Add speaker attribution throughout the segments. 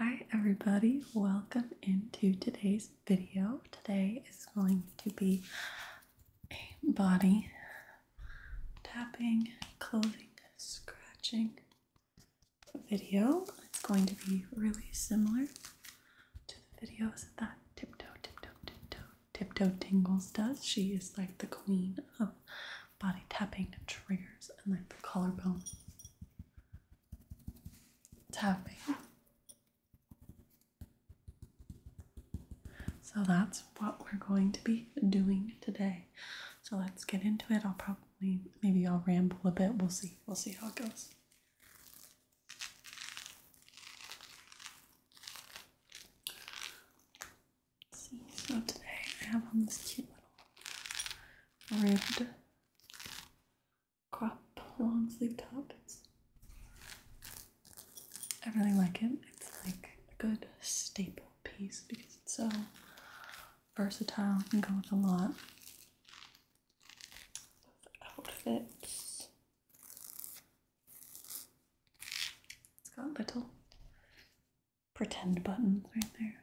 Speaker 1: Hi everybody, welcome into today's video. Today is going to be a body tapping, clothing, scratching video. It's going to be really similar to the videos that tiptoe, tiptoe, tiptoe, Tiptoe Tingles does. She is like the queen of body tapping triggers and like the collarbone tapping. So that's what we're going to be doing today. So let's get into it. I'll probably, maybe I'll ramble a bit. We'll see. We'll see how it goes so today I have on this cute little ribbed crop long sleeve top. I really like it. It's like a good staple piece because it's so versatile. can go with a lot of outfits. It's got little pretend buttons right there.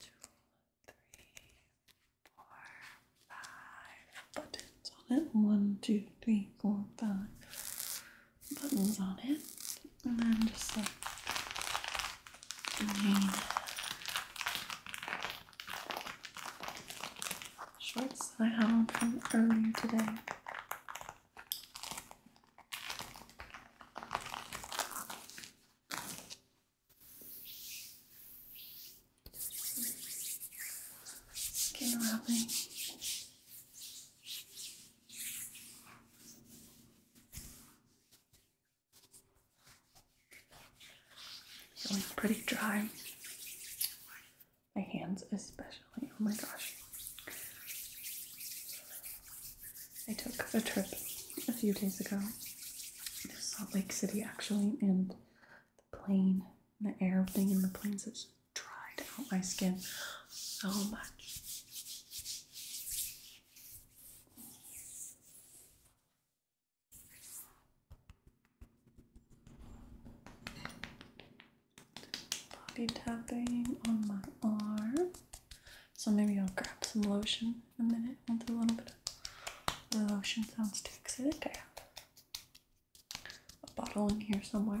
Speaker 1: Two, three, four, five buttons on it. One, two, three, four, five buttons on it. And then just like shorts I have on from earlier today. Skin wrapping. Feeling pretty dry. My hands, especially. Oh my gosh. I took a trip a few days ago to Salt Lake City, actually, and the plane, the air thing in the planes has dried out my skin so much. Body tapping on my arm. So maybe I'll grab some lotion a minute. i a little bit the lotion sounds too excited I have a bottle in here somewhere.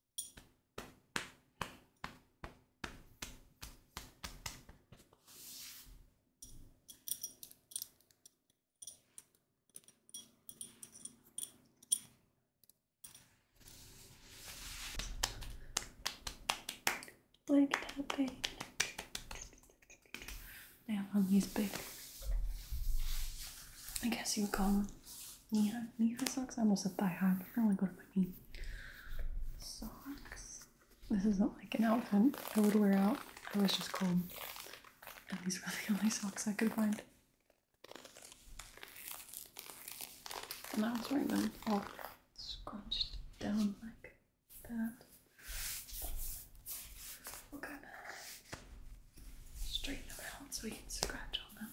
Speaker 1: Like tapping. Now on big, I guess you would call them knee high, socks. almost a thigh high, but I really go to my knee. Socks. This isn't like an outfit I would wear out. I was just cool, And these were the only socks I could find. And I was wearing them all scrunched down like that. Okay. Straighten them out so we can scratch on them.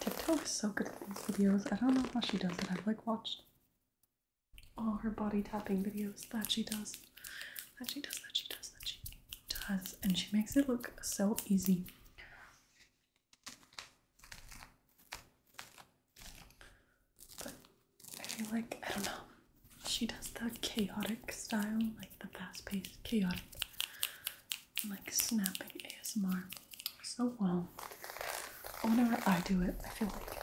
Speaker 1: TikTok is so good at these videos. I don't know how she does it. I've like watched all her body tapping videos that she does. That she does, that she does, that she does. And she makes it look so easy. But I feel like, I don't know, she does the chaotic style, like the fast paced, chaotic, like snapping ASMR so well. Whenever I do it, I feel like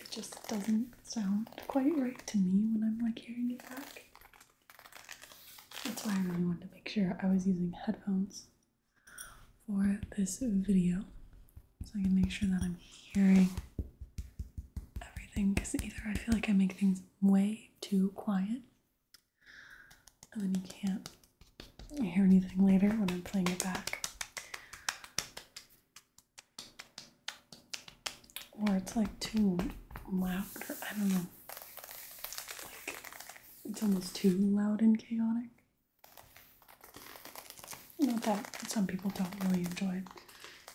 Speaker 1: it just doesn't sound quite right to me when I'm like hearing it back. That's why I really wanted to make sure I was using headphones for this video so I can make sure that I'm hearing everything because either I feel like I make things way too quiet and then you can't hear anything later when I'm playing it back. Or it's like too loud, or I don't know. Like, it's almost too loud and chaotic. Not that some people don't really enjoy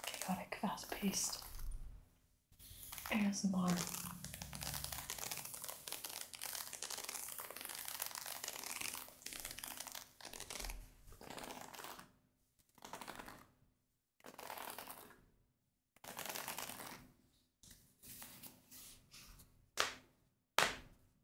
Speaker 1: chaotic, fast paced ASMR.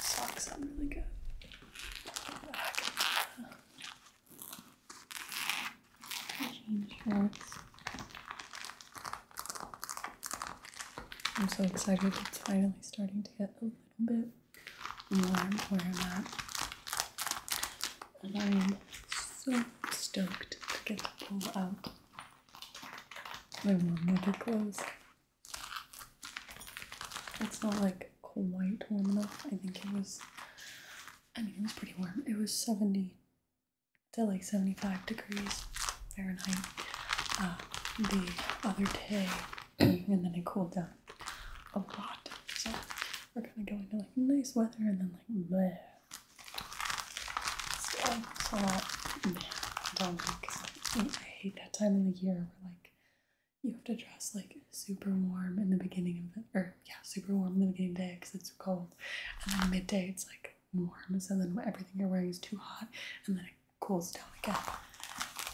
Speaker 1: Socks sound really good. Change shorts. I'm so excited it's finally starting to get a little bit warm where I'm at. And I am so stoked to get to pull out my warm weather clothes. It's not like quite warm enough. I think it was, I mean, it was pretty warm. It was 70 to like 75 degrees Fahrenheit uh, the other day, and then it cooled down a lot. So we're kind of going to like nice weather and then like I hate that time of the year where like you have to dress like super warm in the beginning of the or yeah, super warm in the beginning the day because it's cold, and then midday it's like warm, so then everything you're wearing is too hot, and then it cools down again.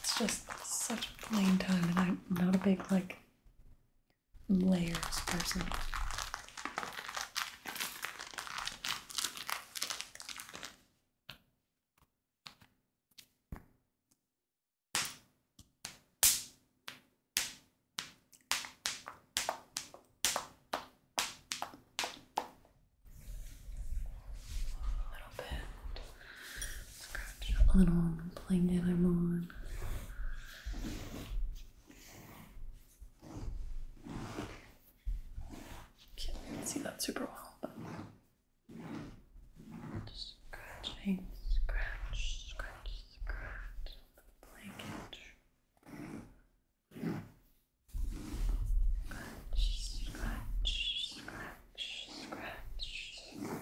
Speaker 1: It's just such a plain time, and I'm not a big like layers person little bit. Scratch a little plane that I'm on. Can't see that super well, but scratch, scratch, scratch, scratch the blanket. Scratch, scratch, scratch, scratch.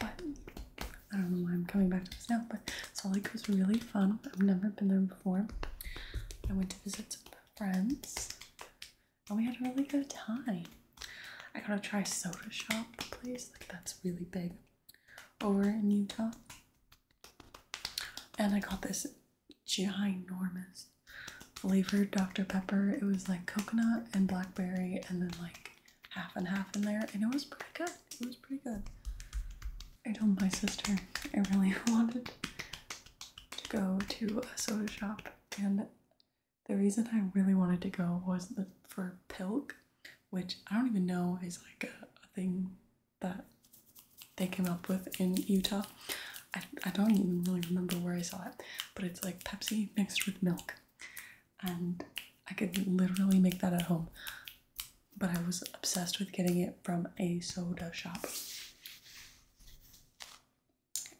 Speaker 1: But I don't know why I'm coming back to this now, but Salt Lake was really fun. I've never been there before. I went to visit some friends and we had a really good time. I gotta try Soda Shop, place Like, that's really big over in Utah. And I got this ginormous flavored Dr. Pepper. It was like coconut and blackberry, and then like half and half in there. And it was pretty good. It was pretty good. I told my sister I really wanted to go to a soda shop, and the reason I really wanted to go was for Pilk, which I don't even know is like a thing that they came up with in Utah. I, I don't even really remember where I saw it, but it's like Pepsi mixed with milk. And I could literally make that at home. But I was obsessed with getting it from a soda shop.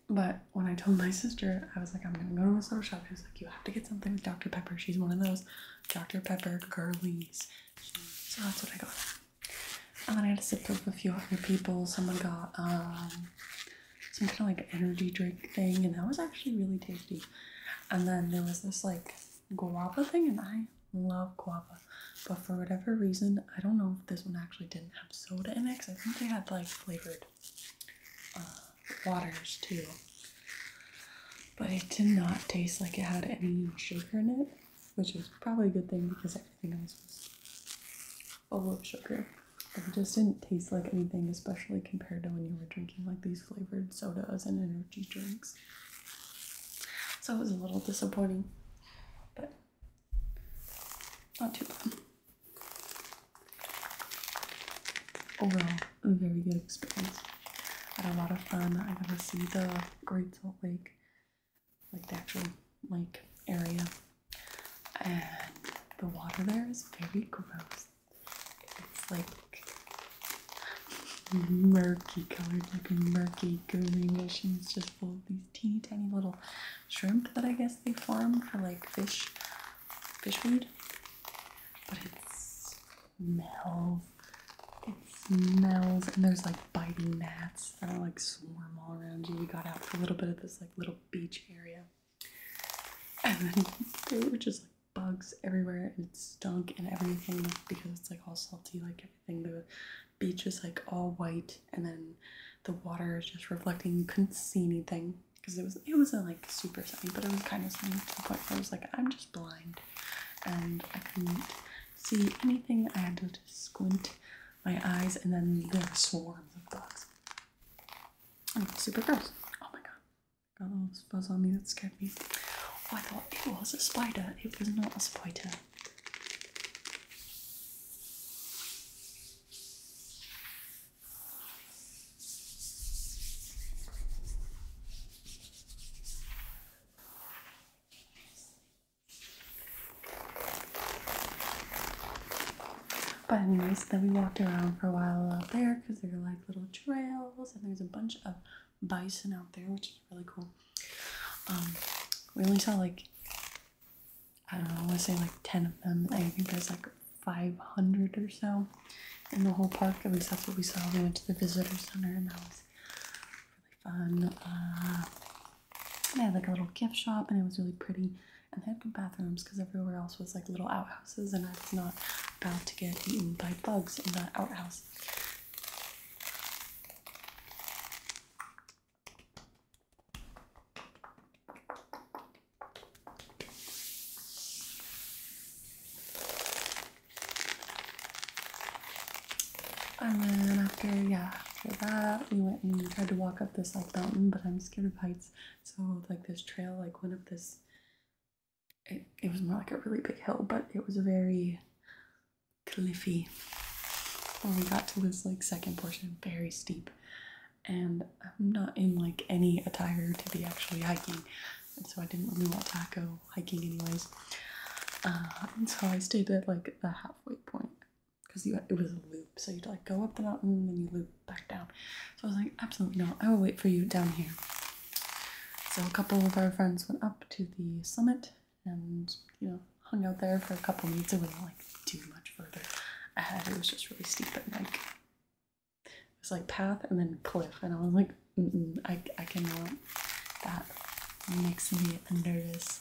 Speaker 1: But when I told my sister, I was like, I'm gonna go to a soda shop. She was like, You have to get something with Dr. Pepper. She's one of those Dr. Pepper girlies. So that's what I got. And then I had a sip with a few other people. Someone got um, some kind of like energy drink thing, and that was actually really tasty. And then there was this like guava thing, and I love guava. But for whatever reason, I don't know if this one actually didn't have soda in it because I think they had like flavored uh, waters too. But it did not taste like it had any sugar in it, which is probably a good thing because everything else was full of sugar. it just didn't taste like anything, especially compared to when you were drinking like these flavored sodas and energy drinks. So it was a little disappointing, but not too bad. Overall, a very good experience. I had a lot of fun. I got to see the Great Salt Lake, like the actual lake area, and the water there is very gross. It's like murky colored, looking murky greenish, and it's just full of these teeny tiny little shrimp that I guess they farm for like fish, fish food. But it's smells. It smells, and there's like biting gnats that like swarm all around you. You got out for a little bit of this like little beach area, and then there were just like bugs everywhere, and it stunk and everything because it's like all salty, like everything. The beach is like all white, and then the water is just reflecting. couldn't see anything because it was it wasn't like super sunny, but it was kind of sunny to point where I was like, I'm just blind and I couldn't see anything. I had to squint my eyes, and then there were swarms of bugs. And it super gross. Oh my god. Got all this buzz on me that scared me. Oh, I thought it was a spider. It was not a spider. But anyways, then we walked around for a while out there because there are like little trails and there's a bunch of bison out there, which is really cool. Um, we only saw like I don't know, I want to say like ten of them. I think there's like 500 or so in the whole park. At least that's what we saw. We went to the visitor center, and that was really fun. Uh, they had like a little gift shop, and it was really pretty. And they had good bathrooms because everywhere else was like little outhouses, and I was not about to get eaten by bugs in that outhouse. And then after, yeah, after that, we went and tried to walk up this like mountain, but I'm scared of heights. So like this trail, like went up this. It, it was more like a really big hill, but it was a very cliffy. When we got to this like second portion, very steep, and I'm not in like any attire to be actually hiking, and so I didn't really want to go hiking anyways. Uh, and so I stayed at like the halfway point because it was a loop, so you'd like go up the mountain and you loop back down. So I was like, absolutely not, I will wait for you down here. So a couple of our friends went up to the summit and you know hung out there for a couple of minutes. It wasn't like too much further ahead. It was just really steep and like it was like path and then cliff, and I was like, I, I cannot. That makes me nervous.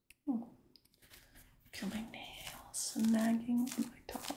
Speaker 1: Ooh. Feel my nails snagging on my top.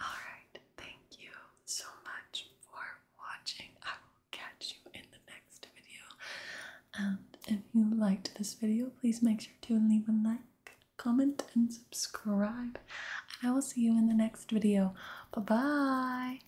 Speaker 1: Alright, thank you so much for watching. I will catch you in the next video. And if you liked this video, please make sure to leave a like comment, and subscribe. I will see you in the next video. Bye bye.